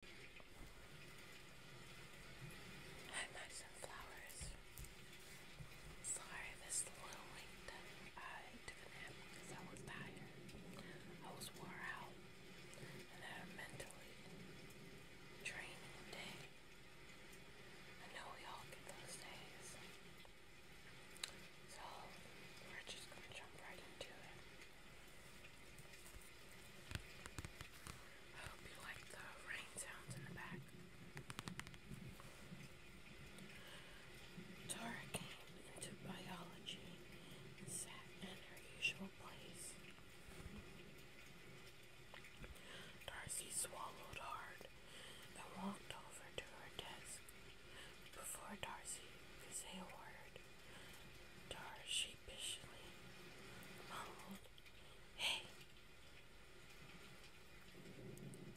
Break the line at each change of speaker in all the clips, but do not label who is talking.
I've got some flowers. Sorry, this is a I took a because I was tired. I was wore out. And I'm mentally draining the I know we all get those days. So, we're just gonna jump right into it. Tara came into biology and sat in her usual place. Darcy swallowed hard and walked over to her desk before Darcy could say a word. Dar sheepishly Hey!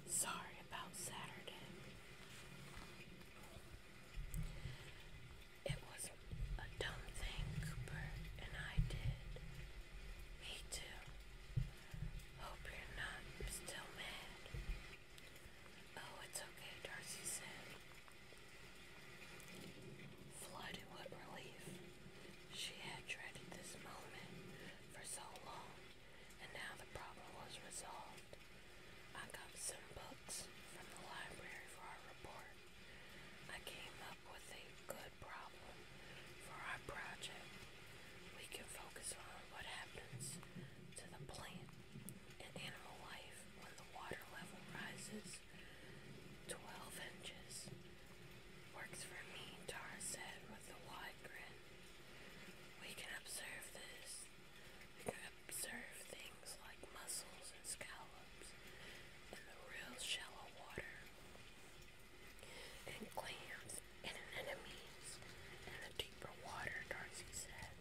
Sorry about Saturday. It was a dumb thing Cooper and I did. Me too. Hope you're not still mad. Oh, it's okay, Darcy said. Flooded with relief, she had dreaded this moment for so long, and now the problem was resolved. I got some books from the library for our report. I came up with a good problem for our project. We can focus on what happens to the plant and animal life when the water level rises 12 inches. Works for me, Tara said with a wide grin. We can observe this. We can observe things like mussels and scallops in the real shallow water, and clams and anemones in the deeper water, Darcy said.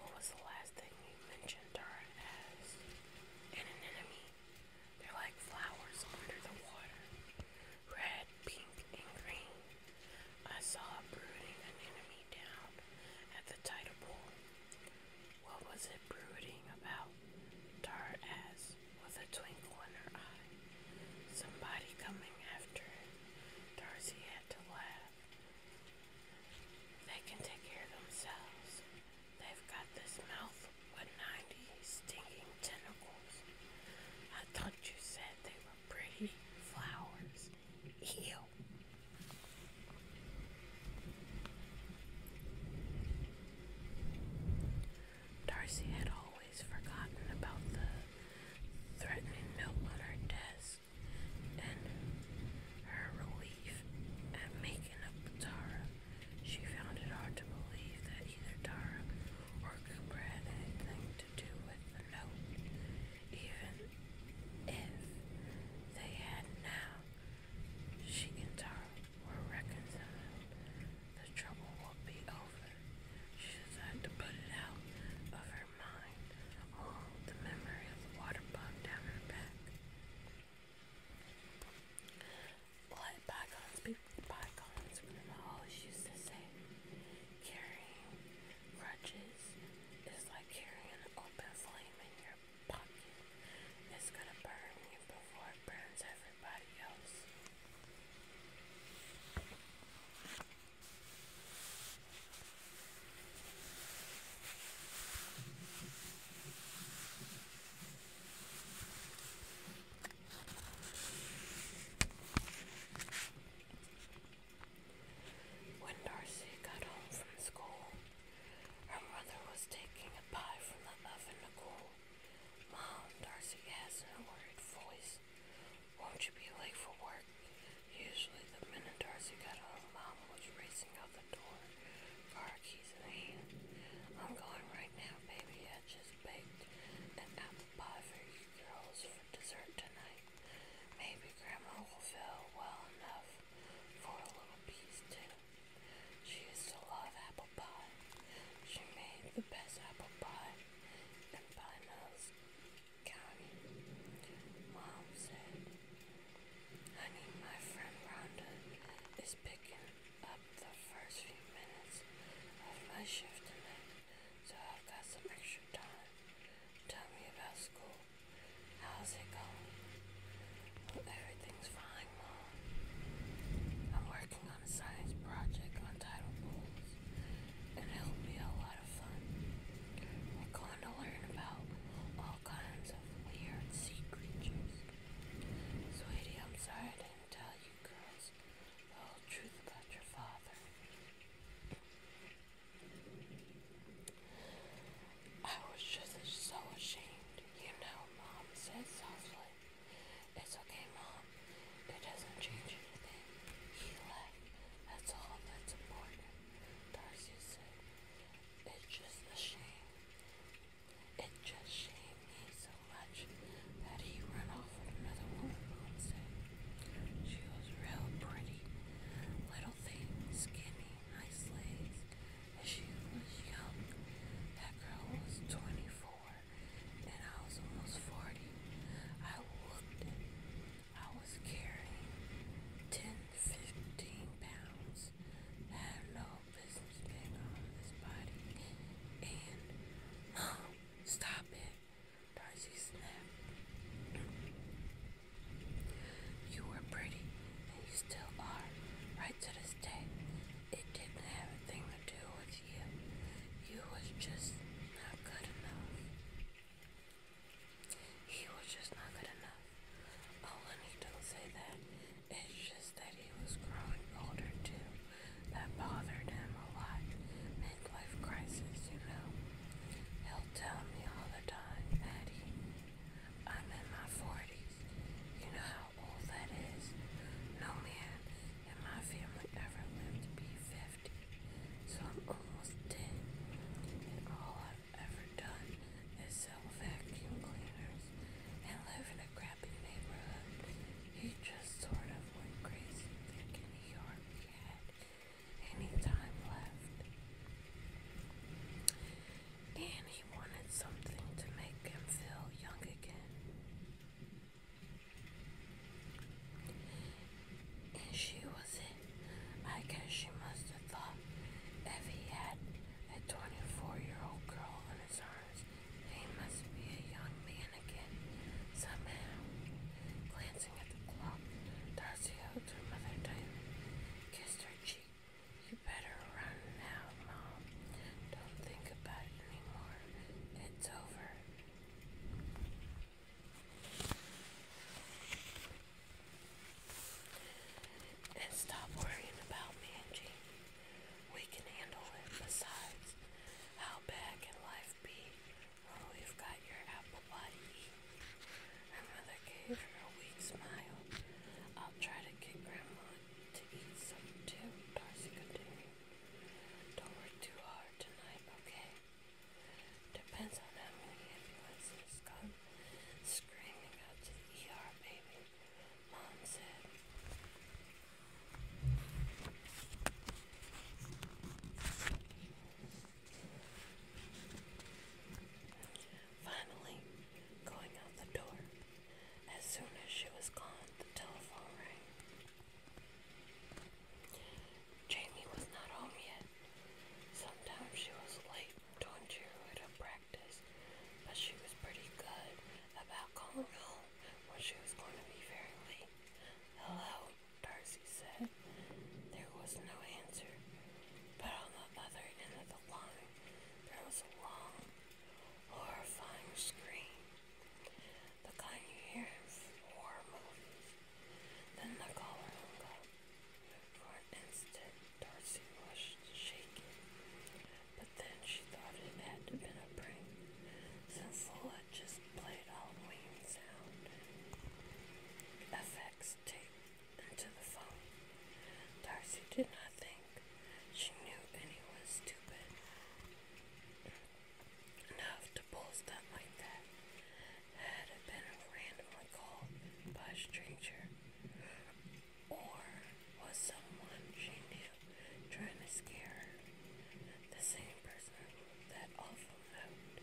What was the last thing you mentioned her as? an enemy. They're like flowers under the water. Red, pink, and green. I saw brooding an enemy down at the tidal pool. What was it brooding about? Tar as with a twinkle in her eye. Somebody coming after it. Darcy had to laugh. They can take care of themselves. They've got this mouth with 90 stinging tentacles. I thought you said they were pretty flowers. Ew. Darcy had always forgotten about the threatening note on her desk and her relief at making up with Tara. She found it hard to believe that either Tara or Cooper had anything to do with the note. Even if they had now, she and Tara were reconciled. The trouble would be over. She decided to put it out of her her the memory of the water bug down her back. Let bygones be bygones, Grandma always used to say. Carrying crutches is like carrying an open flame in your pocket. It's gonna burn you before it burns everybody else. When Darcy got home from school, her mother was taking a pie from the oven to cool. Mom, Darcy asked a worried voice, won't you be late for work? Usually the minute Darcy got home, Mom was racing out the door, car keys in hand. I'm going right now, baby. I just baked an apple pie for you girls for dessert tonight. Maybe Grandma will feel well enough for a little piece too. She used to love apple pie. She made the best apple pie and pie nose Gary. Mom said, Honey, my friend Ronda. is picking up the first few minutes of my shift tonight, so I've got some extra time. Tell me about school. How's it going? everything's fine, Mom. I'm working on a science project on tidal pools it'll be a lot of fun. We're going to learn about all kinds of weird sea creatures. Sweetie, I'm sorry I didn't tell you girls the whole truth about your father. I was just so ashamed. You know, Mom said softly. It's okay, Mom. It doesn't change anything. He left. That's all that's important. Darcy said. It's just a shame. It just shamed me so much that he ran off with another woman, Mom said. She was real pretty. Little thing, skinny, nice legs. And she was young. That girl was 24 and I was almost 40. I looked. it. I was carrying 10 15 pounds. I had no business being on this body. And, oh, stop it. Darcy snapped. You were pretty, and you still are, right to this day. It didn't have a thing to do with you. You was just good enough. He was just not good enough. Oh, let me not say that. It's just that he was growing older too. That bothered him a lot. Midlife crisis, you know. He'll tell me all the time, Maddie. I'm in my 40s. You know how old that is? No man in my family ever lived to be 50. So I'm almost done. And all I've ever done is sell vacuum cleaners and live in a crappy neighborhood. He just sort of went crazy thinking he had any time left. And he wanted something to make him feel young again. And she was it. I guess she must have thought if he had a 24 year old girl in his arms, he must be a young man again. Somehow, glancing at the clock, Darcy hugged her mother tight, kissed her cheek. You better run now, Mom. Don't think about it anymore. It's over. And stop worrying about Manji. We can handle it. Besides, how bad can life be when oh, we've got your apple body? to eat? Her mother gave her a weak smile. I'll try to get Grandma to eat some too, Darcy continued. Don't work too hard tonight, okay? Depends on how many ambulances come screaming out to the ER, baby. Mom said. Finally, going out the door. As soon as she was gone, the telephone rang. Jamie was not home yet. Sometimes she was late doing cheerleader practice, but she was pretty good about calling home when she was going to be very late. Hello, Darcy said. There was no answer, but on the other end of the line, there was a long, horrifying scream the kind you hear warm. Then the collar hung up. For an instant, Darcy was shaking, but then she thought it had been a prank, since Lola just played Halloween sound effects tape into the phone. Darcy did not think she knew anyone stupid enough to pull stunt like that had it been randomly called by a stranger or was someone she knew trying to scare her the same person that awful note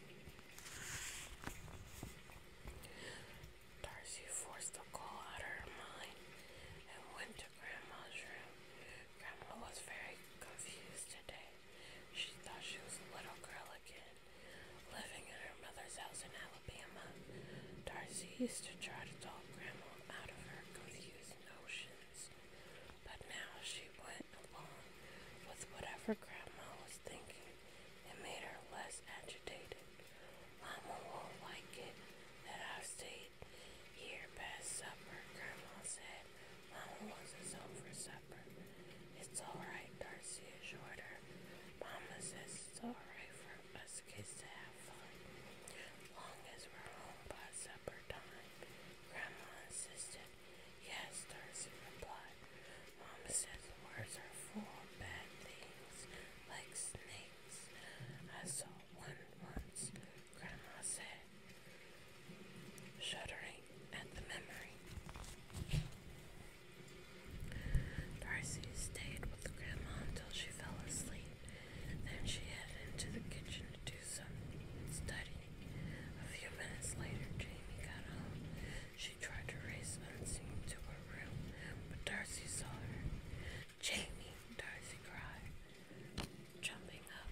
Darcy forced the call out of her mind and went to Grandma's room. Grandma was very confused today. She thought she was a little girl again, living in her mother's house in Alabama. Darcy used to try to talk Grandma out of her confused notions, but now she went along with whatever Grandma was thinking. It made her less agitated. Mama won't like it that I've stayed stayed here past supper, Grandma said. Mama wants us home for supper. It's alright, Darcy assured her. Mama says sorry for us kids to have fun. Long as we're home by supper time, Grandma insisted. Yes, Darcy replied. Mama says the words are full of bad things, like snakes. I saw one once, Grandma said, shuddering at the memory. Darcy stayed with Grandma until she fell asleep. Then she headed into the kitchen to do some studying. A few minutes later, Jamie got home. She tried to race unseen to her room, but Darcy saw her. Jamie, Darcy cried jumping up.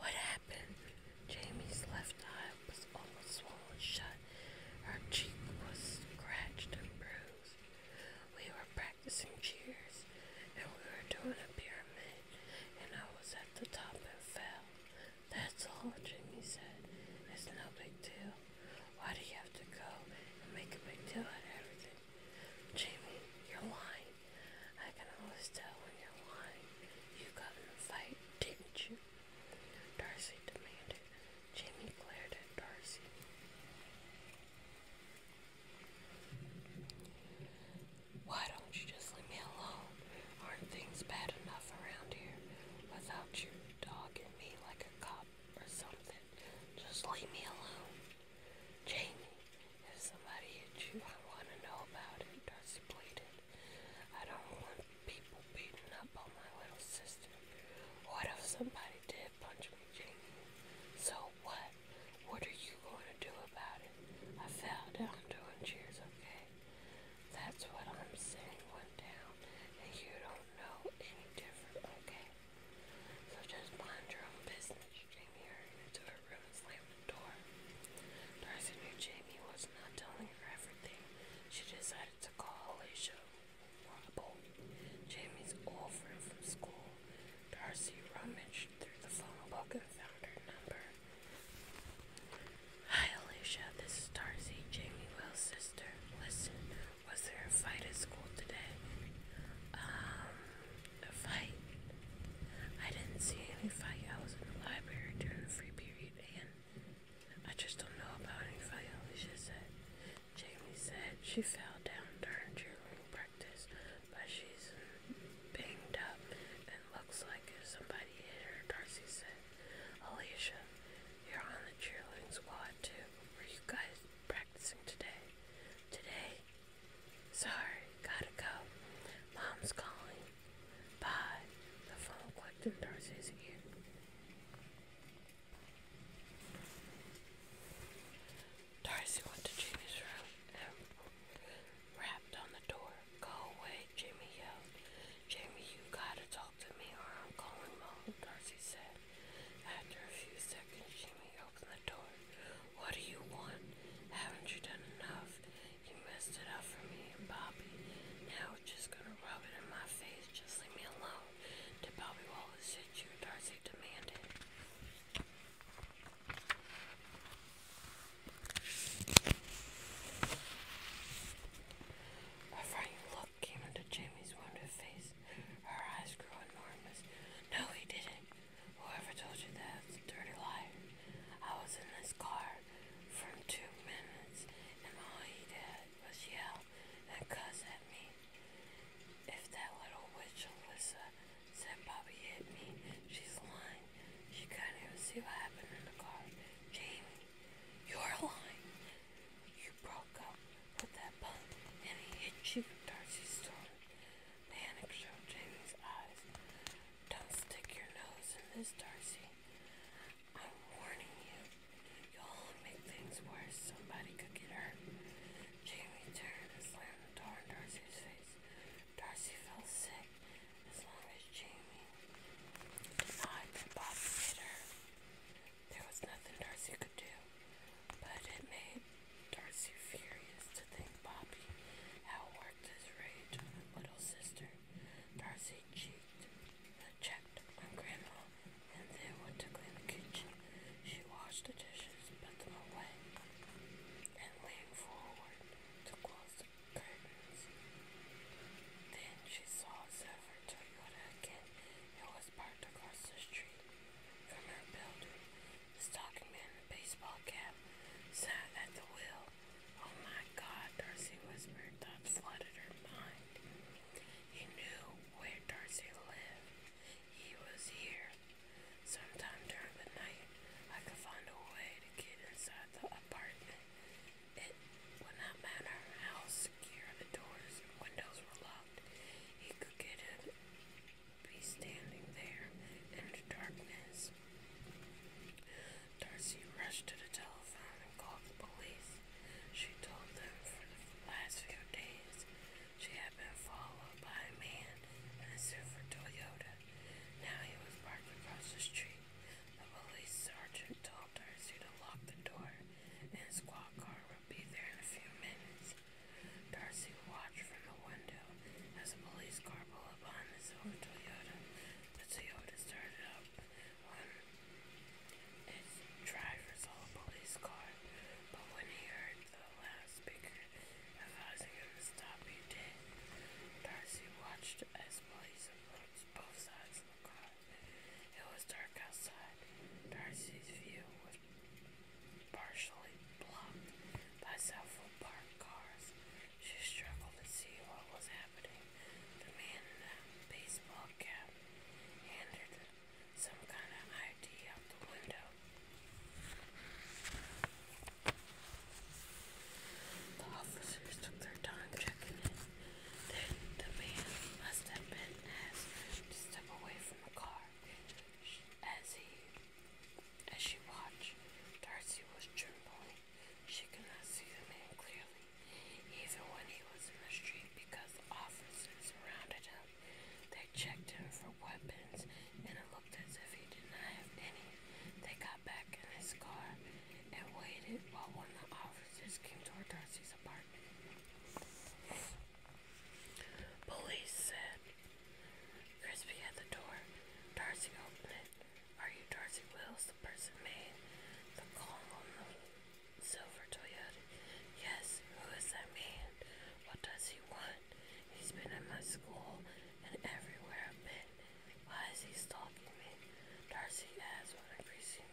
What happened? Jamie's left eye was almost swollen shut. Her cheek was scratched and bruised. We were practicing cheers, and we were doing a pyramid, and I was at the top and fell. That's all, Jamie said. It's no big deal. Why do you have to go and make a big deal out of everything? Jamie, you're lying. I can always tell when you're lying. You got in a fight, didn't you? Darcy demanded. Jamie glared at Darcy. Why don't you just leave me alone? Aren't things bad enough around here without you dogging me like a cop or something? Just leave me alone. Jamie, if somebody hit you, I want to know about it, Darcy pleaded. I don't want people beating up on my little sister. What if somebody did punch me, Jamie? So what? What are you going to do about it? I fell down doing cheers, okay? That's what I'm saying went down, and you don't know any different, okay? So just mind your own business, Jamie her the door. Darcy knew Jamie was not telling her everything. She decided to call Alicia Rumble, Jamie's old friend from school. Darcy rummaged through the phone book and found her number. Hi Alicia, this is Darcy, Jamie Wells' sister. Listen, was there a fight at school today? Um, a fight? I didn't see any fight. I was in the library during the free period and I just don't know about any fight, Alicia said. Jamie said she fell down during cheerleading practice, but she's banged up and looks like if somebody hit her, Darcy said. Alicia, you're on the cheerleading squad too. Were you guys practicing today. Today? Sorry, gotta go. Mom's calling. Bye. The phone clicked in Darcy's ear. Darcy went to Jimmy's room and rapped on the door. Go away, Jimmy yelled. Jimmy, you gotta talk to me or I'm calling mom, Darcy said. After a few seconds, Jimmy opened the door. What do you want? Haven't you done enough? You messed it up for me and Bobby. Now you're just gonna rub it in my face. Just leave me alone. Did Bobby Wallace hit you? Darcy demanded. A frightened look came into Jimmy's wounded face eyes. Her eyes grew enormous. No, he didn't. Whoever told you that's a dirty liar. I was in this car for two minutes, and all he did was yell and cuss at me. If that little witch Alyssa said Bobby hit me, she's lying. She couldn't even see what happened in the car. Jamie, you're lying. You broke up Put that button in hit you with Darcy's sword. showed Jamie's eyes. Don't stick your nose in this, Darcy. I'm warning you. You'll make things worse. Somebody could get hurt. Jamie turned and slammed the door in Darcy's face. Darcy felt sick as long as Jamie denied that Bobby hit her. There was nothing Darcy could do, but it made Darcy furious to think Bobby worked his rage on his little sister. Darcy cheeked, uh, checked on Grandma, and then went to clean the kitchen. She washed the dishes, put them away, and leaned forward to close the curtains. Then she saw Zephyr Toyota again. It was parked across the street from her building. The stocking man in a baseball cap sat at the wheel. Oh my god, Darcy whispered. Thoughts flooded her mind. He knew where Darcy lived. He was here. Sometime during the night, I could find a way to get inside the apartment. It would not matter how secure the doors and windows were locked. He could get it, be standing there in the darkness. Darcy rushed to the telephone and called the police. She told them for the last few days she had been followed by a man in a silver Toyota. Now he was parked across the street. The police sergeant told Darcy to lock the door and a squad car would be there in a few minutes. Darcy watched from the window as a police car pulled up on the silver Toyota. The Toyota started up when its driver saw a police car, but when he heard the last speaker advising him to stop, he did. Darcy watched as police approached both sides of the car. It was dark outside. Darcy's view was partially blocked by several parked cars. She struggled to see what was happening. The man in the baseball cap handed some kind of ID out the window. The officers took their time checking it. Then the man must have been asked to step away from the car. As he, as she watched, Darcy was trembling. She could not see the man clearly, even when he was in the street, because the officers surrounded him. They checked him for weapons, and it looked as if he did not have any. They got back in his car and waited while one of the officers came to Darcy's apartment. Police said. Crispy at the door. Darcy opened it. Are you Darcy Wills, the person made the call on the silver Toyota? Yes, who is that man? What does he want? He's been at my school and everywhere I've been. Why is he stalking me? Darcy asked with increasing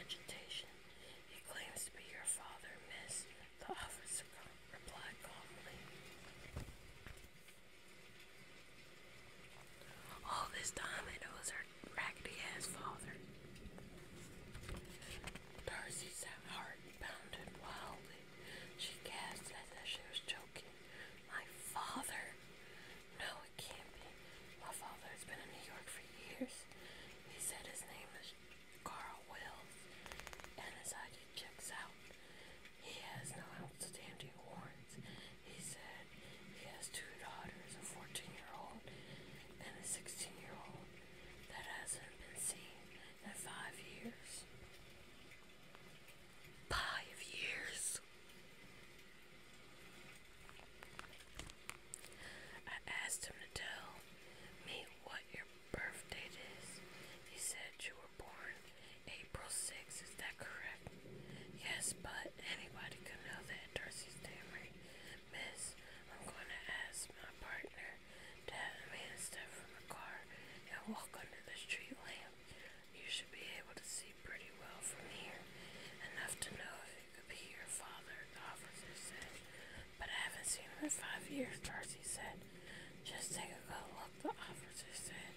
agitation. He claims to be your father, miss, the officer replied calmly. All this time it was her raggedy ass father. Darcy's heart pounded wildly. She gasped as if she was choking. My father? No, it can't be. My father has been in New York for years. He said his name is Carl Wills and his ID checks out. He has no outstanding warrants. He said he has two daughters, a 14 year old and a 16 year old, that hasn't been seen in five years. Five years! I asked him to tell me what your birthday is. He said you were born April 6th, is that correct? Yes, but anybody could know that, Darcy stammered. Miss, I'm going to ask my partner to have me step from the car and walk under the street lamp. You should be able to see pretty well from here, enough to know if it be your father, the officer said. But I haven't seen him in five years, Darcy said. Just take a good look, the officer said.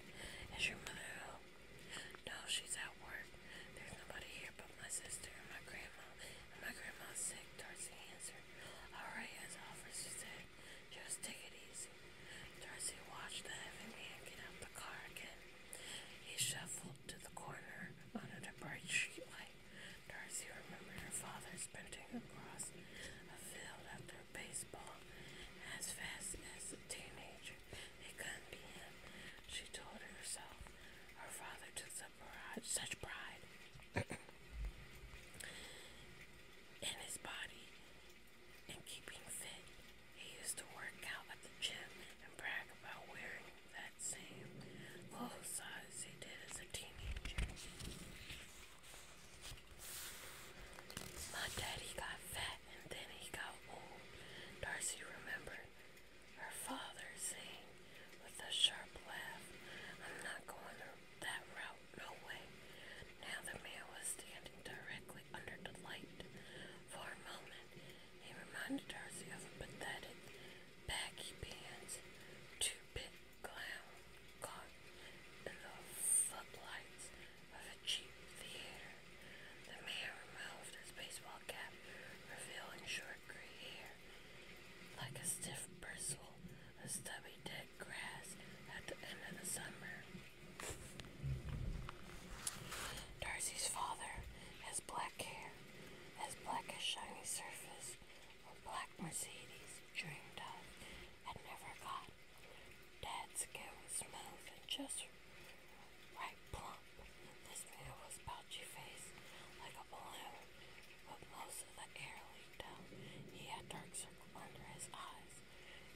Is your mother home? No, she's at work. There's nobody here but my sister and my grandma. And my grandma's sick, Darcy answered. Alright, as the officer said, just take it easy. Darcy watched the heavy man get out the car again. He shuffled to the corner under the bright streetlight. Darcy remembered her father sprinting across a field after a baseball as fast as a teenager. It couldn't be him, she told herself. Her father took such pride in his body and keeping fit. He used to work out at the gym and brag about wearing that same full size he did as a teenager. My daddy got fat and then he got old, Darcy remembered. Her father saying with a sharp laugh, I'm not going that route, no way. Now the man was standing directly under the light. For a moment, he reminded Darcy of a pathetic baggy two big clown caught in the footlights of a cheap theater. The man removed his baseball cap, revealing short gray hair, like a stiff bristle, a stubby dead grass at the end of the summer. Darcy's father has black hair as black as shiny surface or black Mercedes dreamed of and never got. Dad's skin was smooth and just right plump. This man was pouchy faced like a balloon, but most of the air leaked out. He had dark circles under his eyes.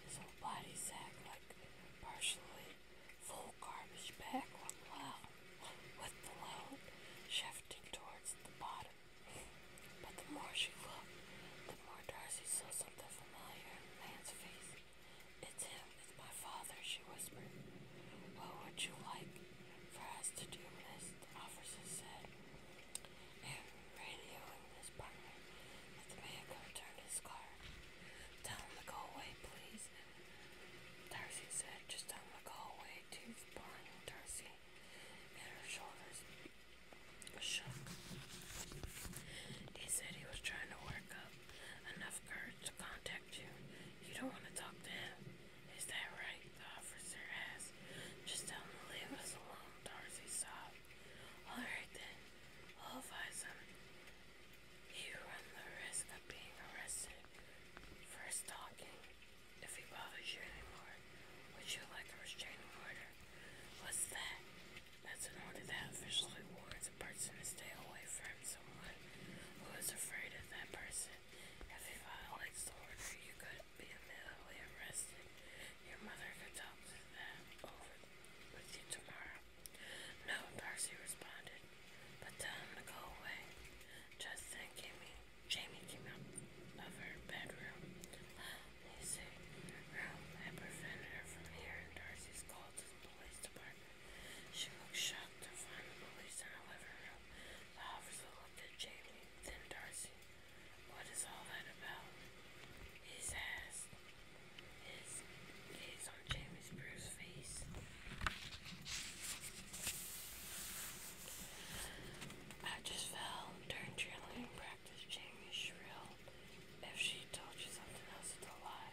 His whole body sagged like partially full garbage bag went well, with the load shifting towards the bottom. But the more she looked, the more Darcy saw something familiar in the man's face. It's him, it's my father, she whispered. What would you like for us to do this? The officer said. And radioing his let the man come turn his car. Tell him to go away, please, Darcy said, just down the hallway to Barn. Darcy and her shoulders shook. He said he was trying to work up enough courage to contact you. You don't want to talk to him. Is that right? The officer asked. Just tell him to leave us alone, Darcy sobbed. Alright then, I'll advise you run the risk of being arrested for stalking. If he bothers you anymore, would you like a restraining order? What's that? That's an order that officially warns a person to stay away from someone who is afraid of that person. If he violates the order, you could be immediately arrested. Your mother could talk to them over with you tomorrow. No, Darcy responded, but tell him to go away. Just then Jamie, Jamie came out of her bedroom. Lazy room had prevented her from hearing Darcy's call to the police department. She looked shocked to find the police in her living room. The officer looked at Jamie, then Darcy. What is all that about? He's asked. His gaze on Jamie I just fell during cheerleading practice. Jamie shrilled. If she told you something else, it's a lie.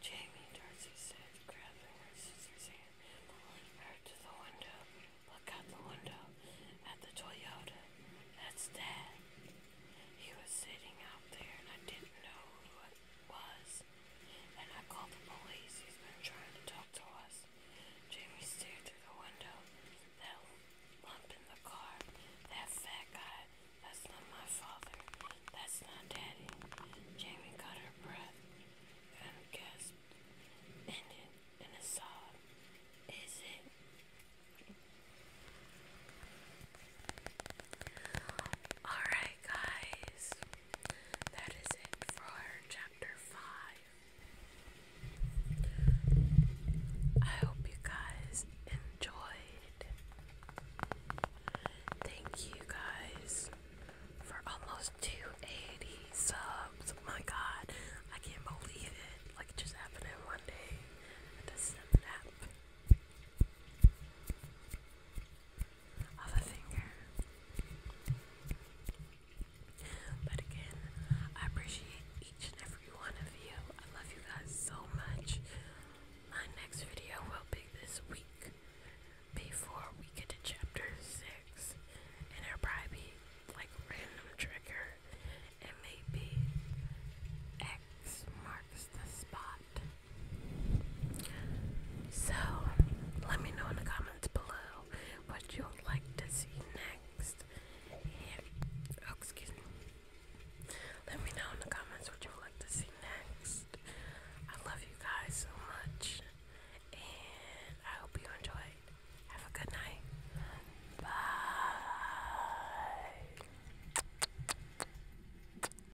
Jamie, Darcy said, grabbing her sister's hand pulling her to the window. Look out the window at the Toyota. That's Dad. He was sitting out there, and I didn't know who it was and I called the police. He's been trying to talk to us. Jamie stared through the window. That lump in the car. That fat guy. That's not my father. That's not daddy. Jamie got her breath and gasped. Ended in a sob. Is it? Alright, guys. That is it for chapter 5. I hope you guys enjoyed. Thank you guys for almost 280 subs. My god, I can't believe it. Like, it just happened in one day. It doesn't happen of a finger. But again, I appreciate each and every one of you. I love you guys so much. My next video will be this week before we get to chapter 6. And it'll probably be like random trigger. And maybe X marks the spot. So, let me know in the comments below what you would like to see next. Oh, excuse me. Let me know in the comments what you would like to see next. I love you guys so much. And I hope you enjoyed. Have a good night. Bye.